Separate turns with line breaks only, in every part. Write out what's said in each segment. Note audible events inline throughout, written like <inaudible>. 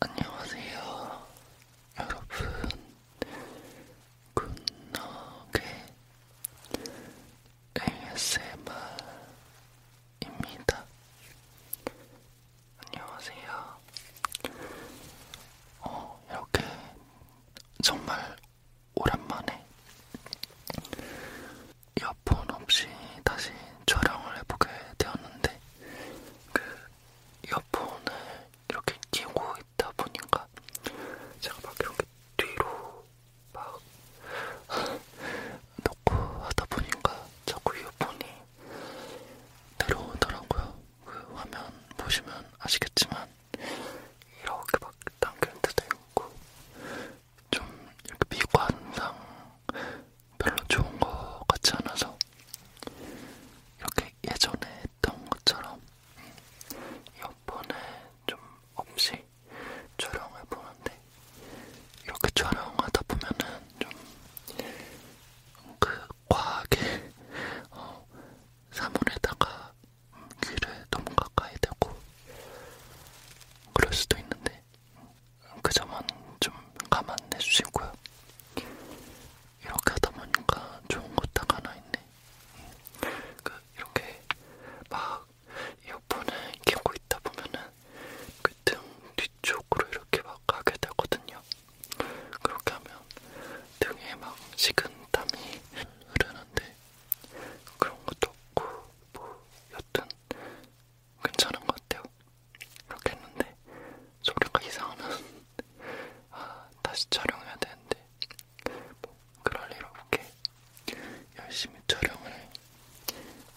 안녕하세요, 여러분. 굿노게 ASMR입니다. 안녕하세요. 어, 이렇게 정말 오랜만에 이어폰 없이 다시 촬영을 해보게 되었는데 그 이어폰을 이렇게 끼고 있다 보니까 제가 막 이렇게 뒤로 막 <laughs> 놓고 하다 보니까 자꾸 이어폰이 내려오더라고요. 그 화면 보시면 아시겠지만 이렇게 막 당길 때도 있고 좀 이렇게 미관상 별로 좋은 것 같지 않아서 이렇게 예전에 했던 것처럼 이어폰을 좀 없이 촬영해 보는데 이렇게 촬영하다 보면은 좀그 과하게 어, 사물에다가 귀를 너무 가까이 대고 그럴 수도 있는데 그 점은 좀 감안해 주시고요. 이렇게 하다 보니까 좋은 것딱 하나 있네. 그 이렇게 막 이어폰을 끼고 있다 보면은 그 등 뒤쪽으로 이렇게 막 가게 되거든요. 그렇게 하면 등에 막 식은 땀이 흐르는데 그런 것도 없고 뭐 여튼 괜찮은 것 같아요. 이렇게 했는데 소리가 이상하면 <laughs> 아, 다시 촬영해야 되는데 뭐 그럴 일 없게 열심히 촬영을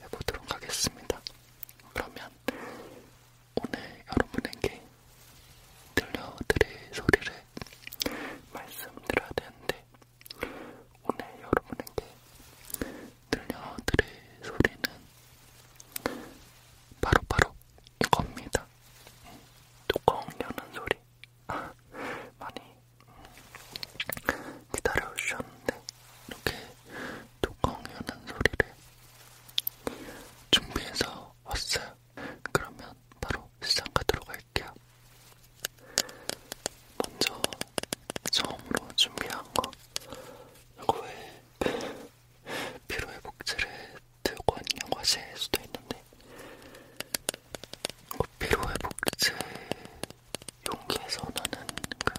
해보도록 하겠습니다. 그러면 오늘 여러분에게 들려드릴 소리를 말씀드려야 되는데 오늘 여러분에게 들려드릴 소리는 바로바로 바로 이겁니다. 뚜껑 여는 소리 <laughs> 많이 기다려주셨는데 이렇게 뚜껑 여는 소리를 준비해서 왔어요. 그러면 바로 시작하도록 할게요. 먼저 처음으로 준비한 거 이거 왜 피로회복제를 들고 왔냐고 하실 수도 있는데 어, 피로회복제 용기에서 나는 그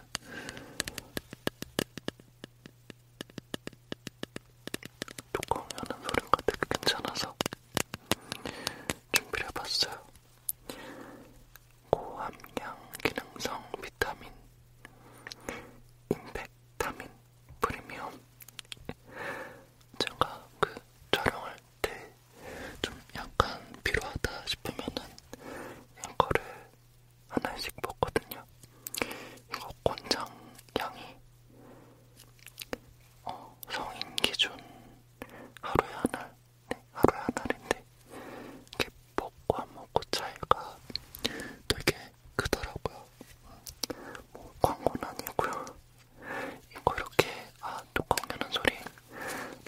뚜껑이 하는 소리가 되게 괜찮아서 준비를 해봤어요. 고함량 기능성 비타민 임팩타민 프리미엄 제가 그 촬영할 때 좀 약간 필요하다 싶으면은 이거를 하나씩 먹거든요. 이거 권장 양이 어, 성인 기준 하루에 한 알, 네, 하루에 한 알인데 이게 먹고 안 먹고 차이가 되게 크더라고요. 뭐 광고는 아니고요. 이거 이렇게 아 뚜껑여는 소리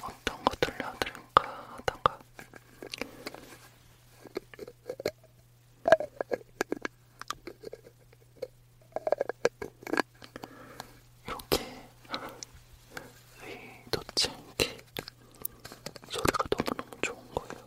어떤 거 들려드릴까 하다가 이렇게 의도치 않게 소리가 너무너무 좋은 거예요.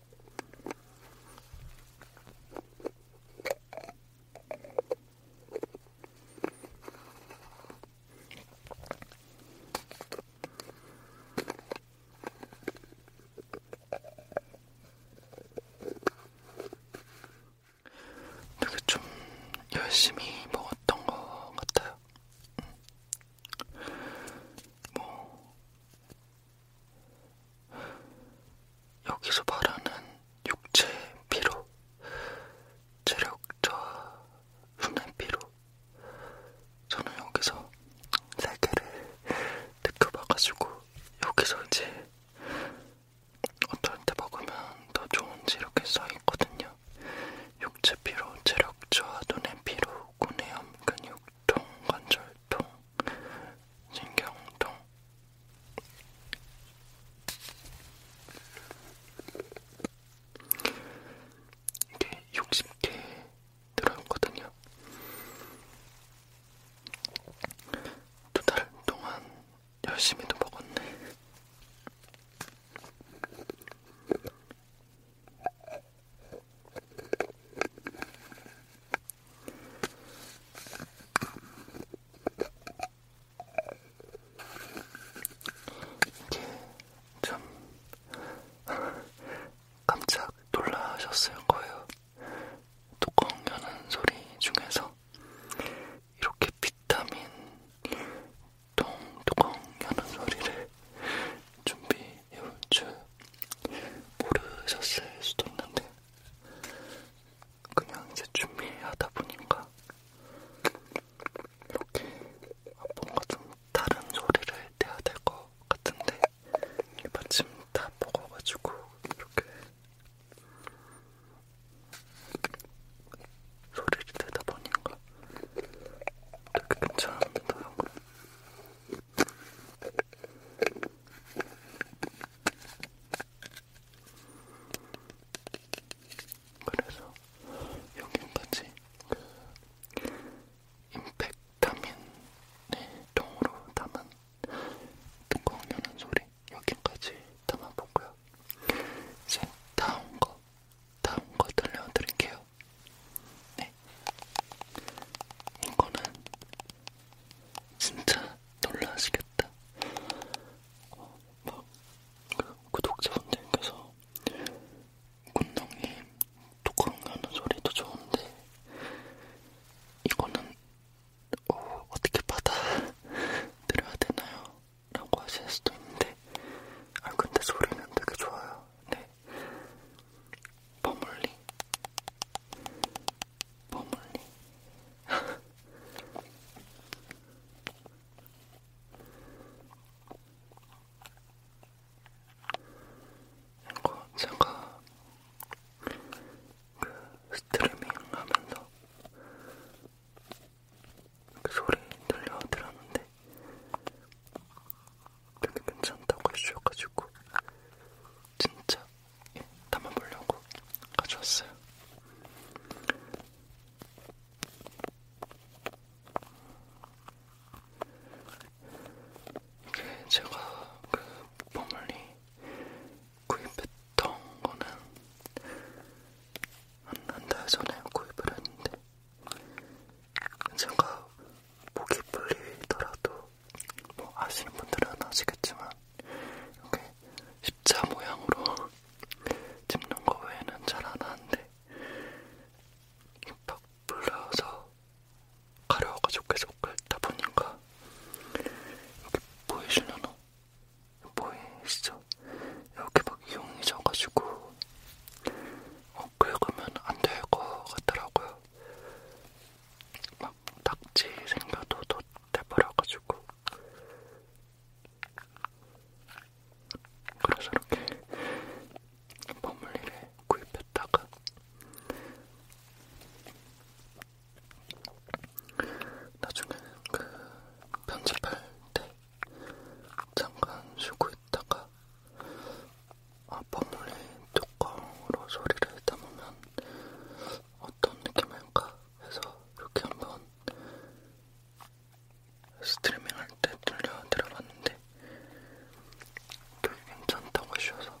되게 좀 열심히 먹었던 것 같아요. 음. 뭐 여기서 말하는 육체 피로, 체력과 흉내 피로, 저는 여기서 세 개를 느껴봐가지고 여기서 이제 어떨 때 먹으면 더 좋은지 이렇게 써있거든요. 육체 피로, 체력 저하, 눈의 피로, 구내염, 근육, 통, 관절, 통, 신경통. 이게 60개 들어있거든요. 두달 동안 열심히도 먹었네. 이게 참 <laughs> 깜짝 놀라셨을 거예요. 뚜껑 여는 소리 중에서 이렇게 비타민 동 뚜껑 여는 소리를 준비해올 줄 모르셨을 수도 있는데 그냥 이제 준비하다 보니까 이렇게 뭔가 좀 다른 소리를 내야 될 것 같은데 마침 다 먹어가지고 이렇게 소리를 내다 보니까 되게 괜찮은데요. 그래서 여기까지 그 임팩타민의 통으로 담은 뚜껑 여는 소리 여기까지 담아보고요. 이제 다음 거, 다음 거 들려드릴게요. 네. 이거는 진짜 놀라시겠다. 어, 그 막 구독자분들께서 군덩이 뚜껑 하는 소리도 좋은데 이거는 어, 어떻게 받아 드려야 되나요? 라고 하실 수도 있는데 아 근데 소리는 되게 좋아요. 네 버물리 버물리 <laughs> 이거 제가 그 스트리밍 하면서 그 소리 들려드렸는데 되게 괜찮다고 해주셔가지고 진짜 담아보려고 가져왔어요. 이게 제가 그 버물리 구입했던 거는 한한달 전에 구입을 했는데 제가 목이 풀리더라도 뭐 아시는 분들은 아시겠지만 이렇게 십자 모양으로 찝는 거 외에는 잘안 하는데 입학 불러서 가려워가지고 계속 긁다 그 보니까 여기 보이시려나? 보이시죠? 이렇게 막 이용이 져가지고 어, 긁으면 안될것 같더라고요. 막 낙지 생겨도 덧대버려가지고 그래서 이렇게 버물리를 구입했다가 나중에는 그 편집할 때 잠깐 쉬고 있다가 아 버물리 뚜껑으로 소리를 담으면 어떤 느낌일까 해서 이렇게 한번 스트리밍 할 때 들려드려봤는데 되게 괜찮다고 하셔서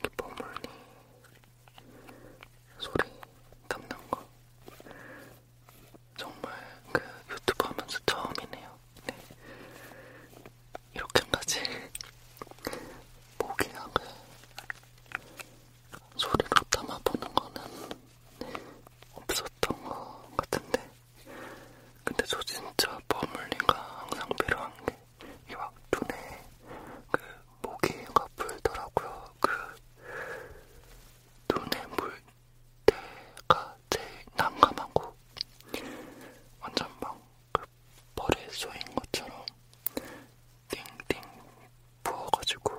이렇게 버물리 소리 담는 거 정말 그 유튜브 하면서 처음이네요. 네. 이렇게까지 <laughs> 모기약을 소리로 담아보는 거는 네, 없었던 것 같은데 근데 저 진짜 버물리가 항상 필요한 게 이게 막 눈에 그 모기가 불더라고요. 그 눈에 물 때가 제일 난감하고 완전 막 그 벌에 쏘인 것처럼 띵띵 부어가지고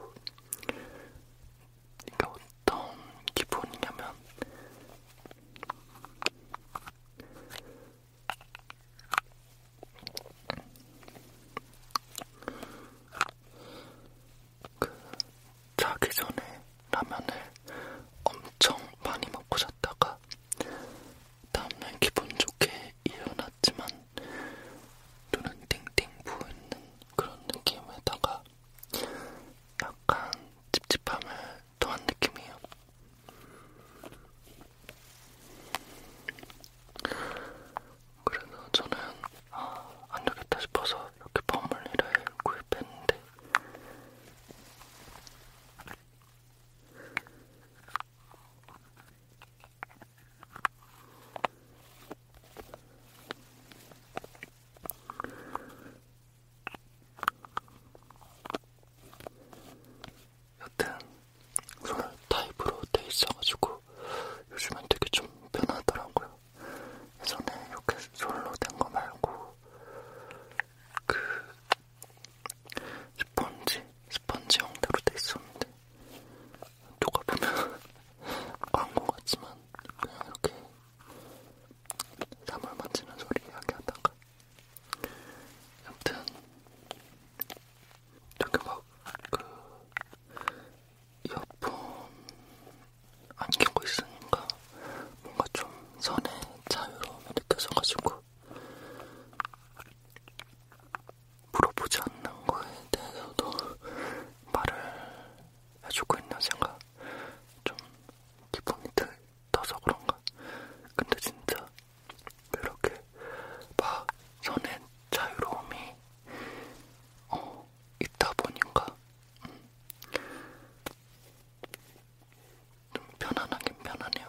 이게 어떤 기분이냐면 그 자기 전에 라면을 엄청 많이 먹고 잤다가 다음날 기분 좋게 일어났지만 눈은 띵띵 부어있는 그런 느낌에다가 약간 찝찝함을 또한 느낌이에요. 그래서 저는 아, 안 되겠다 싶어서 이렇게 버물리를 구입했는데 여튼 손을 타입으로 돼 있어가지고 요즘엔 되게 좀 편하더라고요. 예전에 네, 이렇게 솔로 된 거 말고 그 스펀지 스펀지 형태로 돼 있었는데 누가 보면 <laughs> 광고 같지만 그냥 이렇게 사물 만지는 소리 이야기하다가 아무튼 되게 막그 이어폰 안 끼고 있으니까 뭔가 좀 선의 자유로움이 느껴져가지고 물어보지 않는 거에 대해서도 말을 해주고 있는 생각 좀 기분이 들, 떠서 그런가? 근데 진짜 이렇게 막 선의 자유로움이 어, 있다 보니까 음, 좀 편안하긴 편하네요.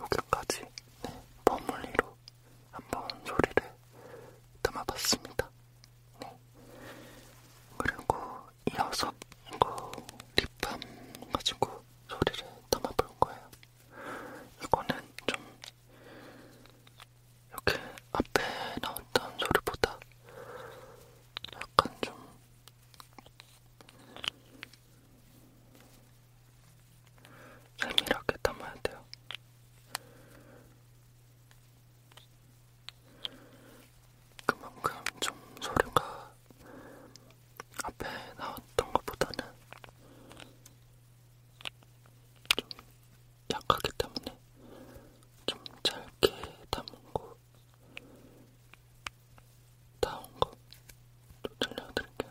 여기까지 네, 버물리로 한번 소리를 담아봤습니다. 네. 그리고 이어서 이거 립밤 가지고 소리를 담아볼 거예요. 이거는 좀 이렇게 앞에 나왔던 소리보다 약간 좀 세밀하게 담아야 돼요. 그만큼 좀 소리가 앞에 나왔던 것보다는 좀 약하기 때문에 좀 짧게 담고 다운 거또 들려드릴게요.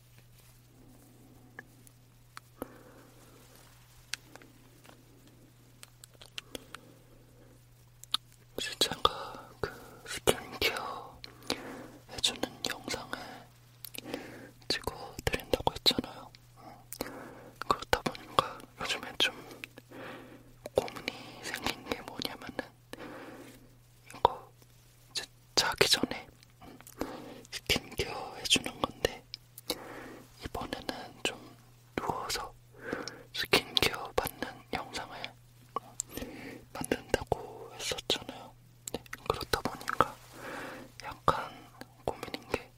실제가 그 스킨케어 해주는 영상을 찍어드린다고 했잖아요. 그렇다 보니까 요즘에 좀 고민이 생긴 게 뭐냐면은 이거 이제 자기 전에 스킨케어 해주는 건데 이번에는 좀 누워서 스킨케어 받는 영상을 만든다고 했었잖아요. 네, 그렇다 보니까 약간 고민인 게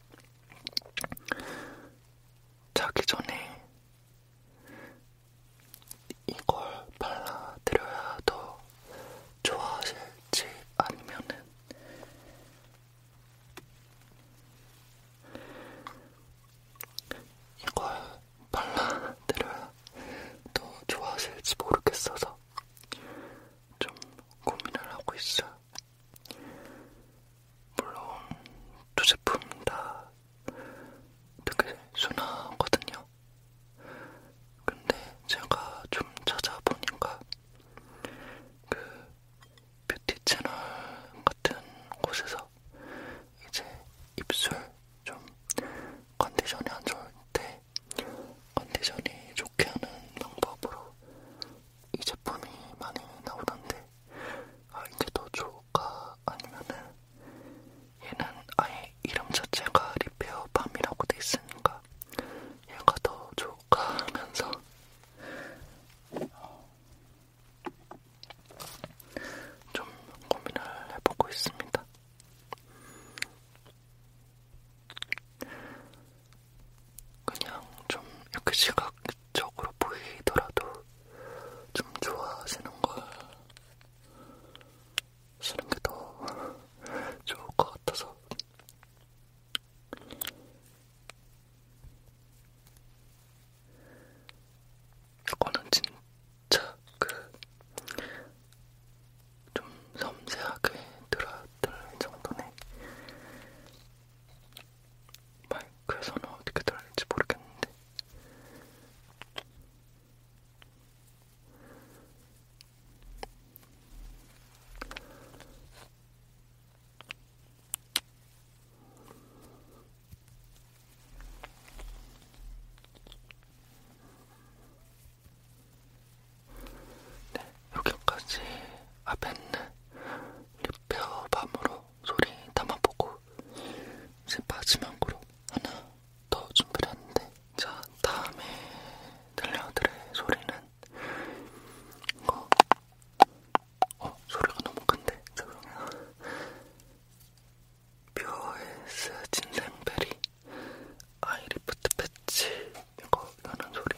자기 전에 이걸 발라드려야 더 좋아하실지 아니면은 이걸 발라드려야 더 좋아하실지 모르겠어서 좀 고민을 하고 있어요. 물론 두 제품 다 되게 순하거든요. 있거든요. 근데 제가 좀 찾아보니까 그 뷰티 채널 같은 곳에서 이제 입술 좀 컨디션이 안 좋을 때 컨디션이 좋게 하는 방법으로 이 제품이 많이 나오던데 아 이게 더 좋을까 아니면은 얘는 아예 이름 자체가 리페어밤이라고 돼 있으니까 얘가 더 좋을까 하면서 좀 고민을 해보고 있습니다. 그냥 좀 이렇게 시각적으로 보이더라도 좀 좋아하시는 걸 쓰는 게더 좋을 것 같아서 이거는 진짜 그 좀 섬세하게 들어야 될 정도네 마이크에서는 어떻게 들을지 모르겠는데 네, 여기까지 아벤느 립페어 밤으로 소리 담아보고 이제 마지막으로 하나 더 준비를 했는데 자 다음에 들려드릴 소리는 이거 어 소리가 너무 큰데 죄송해요 뷰어에스 진생베리 아이리프트 패치 이거 나는 소리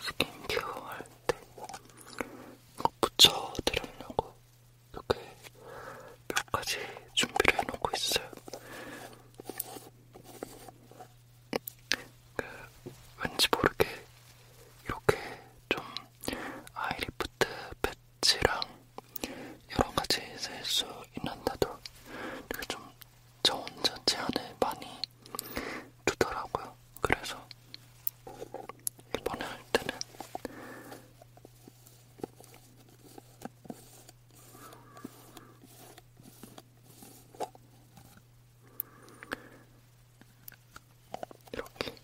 스킨케어 할때 붙여드리려고 이렇게 몇 가지 준비를 해놓고 있어요. 그, 왠지 모르게 이렇게 좀 아이리프트 팩 엣지랑 여러 가지 쓸수 있는데도 이게 좀 저 혼자 제 안에 많이 두더라고요. 그래서 이번에 할 때는 이렇게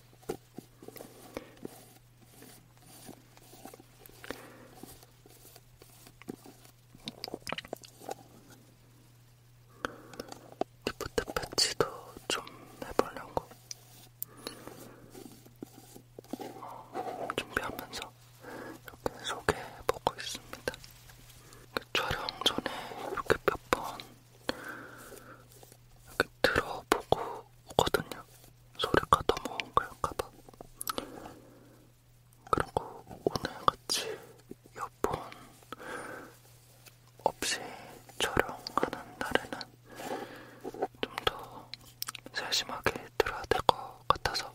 리프트 패치도 좀 해보려고 어, 준비하면서 이렇게 소개해보고 있습니다. 그 촬영 전에 이렇게 몇번 이렇게 들어보고 오거든요. 소리가 넘어온 걸까봐. 그리고 오늘 같이 여폰 없이 촬영하는 날에는 좀 더 세심하게 들어야 될 것 같아서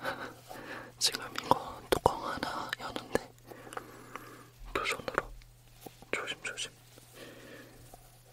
<laughs> 지금 이건 뚜껑 하나 여는데 두 손으로 조심조심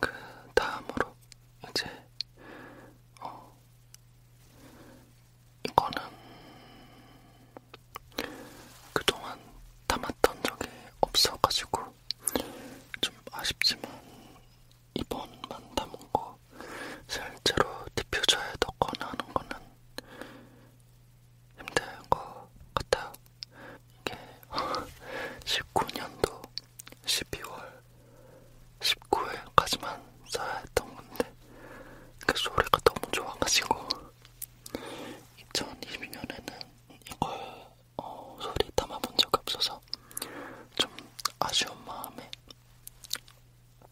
그 다음으로 이제 어 이거는 그동안 담았던 적이 없어가지고 좀 아쉽지만 이번만 담은 거 실제로 디퓨저에 넣거나 하는 거는 힘든 것 같아요. 이게 19년도 12월 19일까지만 써야 했던 건데 그 소리가 너무 좋아가지고 2022년에는 이걸 어, 소리 담아본 적이 없어서 좀 아쉬운 마음에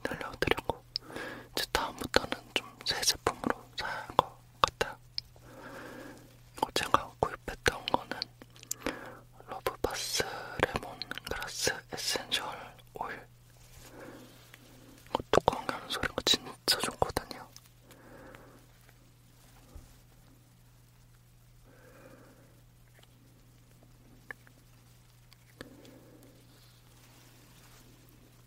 늘려드리고 이제 다음부터는 좀 새 제품으로 사야 할것 같아요. 이거 어, 제가 구입했던 거는 러브바스 레몬그라스 에센셜 오일. 이거 뚜껑 여는 소리가 진짜 좋거든요.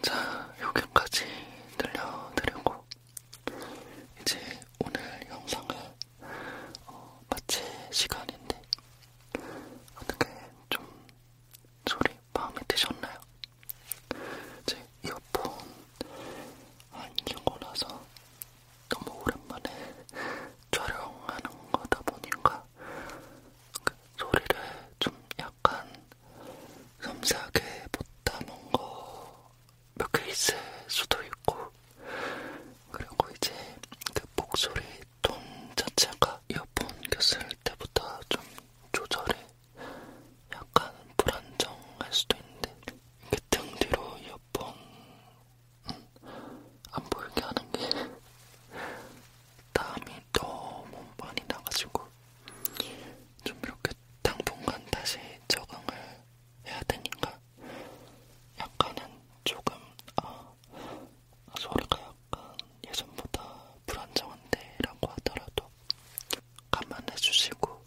자, 여기까지 들려드리고, 이제 오늘 영상을 어, 마칠 시간인데, 어떻게 좀 소리 마음에 드셨나요? 제 이어폰 안 끼고 나서 너무 오랜만에 촬영하는 거다 보니까 그 소리를 좀 약간 섬세하게 못 담은 거몇개 있을 수도 있고 그리고 이제 그 목소리 톤 자체가 이어폰 꼈을 때보다 좀 조절이 약간 불안정할 수도 있는데 이렇게 등 뒤로 이어폰 안 보이게 하는 게 땀이 <laughs> 너무 많이 나가지고 좀 이렇게 당분간 다시 적응을 해야 되니까 약간은 조금 아, 아 소리가 약간 예전보다 불안정한데 라고 하더라도 감안해주시고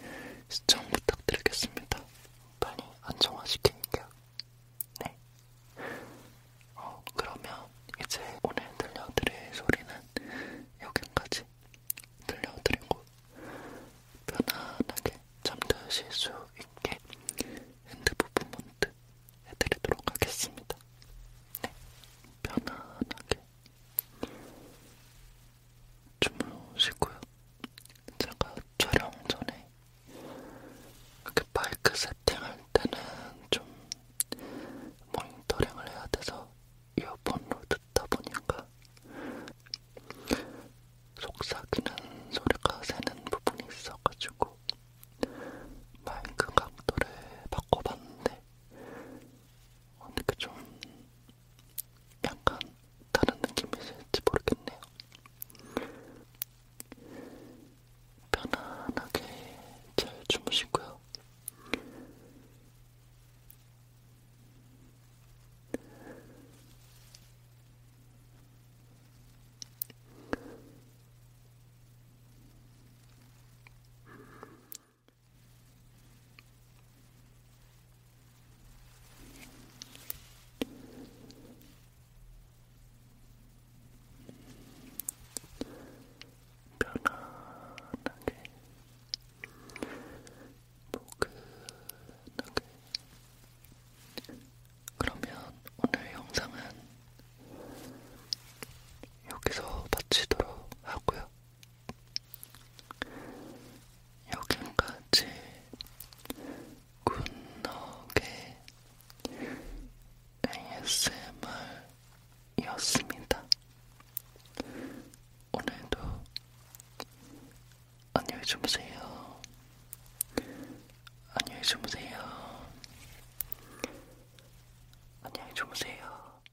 음, 시청 부탁드리겠습니다. 빨리 안정화시키니까. 네. 어, 그러면 이제 오늘 들려드릴 소리는 여기까지 들려드리고 편안하게 잠드실 수 있게 핸드 부분먼트 해드리도록 하겠습니다. 네, 편안하게 주무시고요. 제가 촬영 전에 이렇게 마이크 세팅할 때는 좀 모니터링을 해야 돼서 이어폰으로 듣다 보니까 속삭이는 소리가 새는 부분이 있어가지고 마이크 각도를 바꿔봤는데 어떻게 좀 약간 다른 느낌이실지 모르겠네요. 편안하게 잘 주무시고요. 편안하게 포근하게 그러면 오늘 영상은 여기서 마치도록 하고요. 여기까지 굿넉의 ASMR이었습니다. 오늘도 안녕히 주무세요. 안녕히 주무세요. 안녕히 주무세요.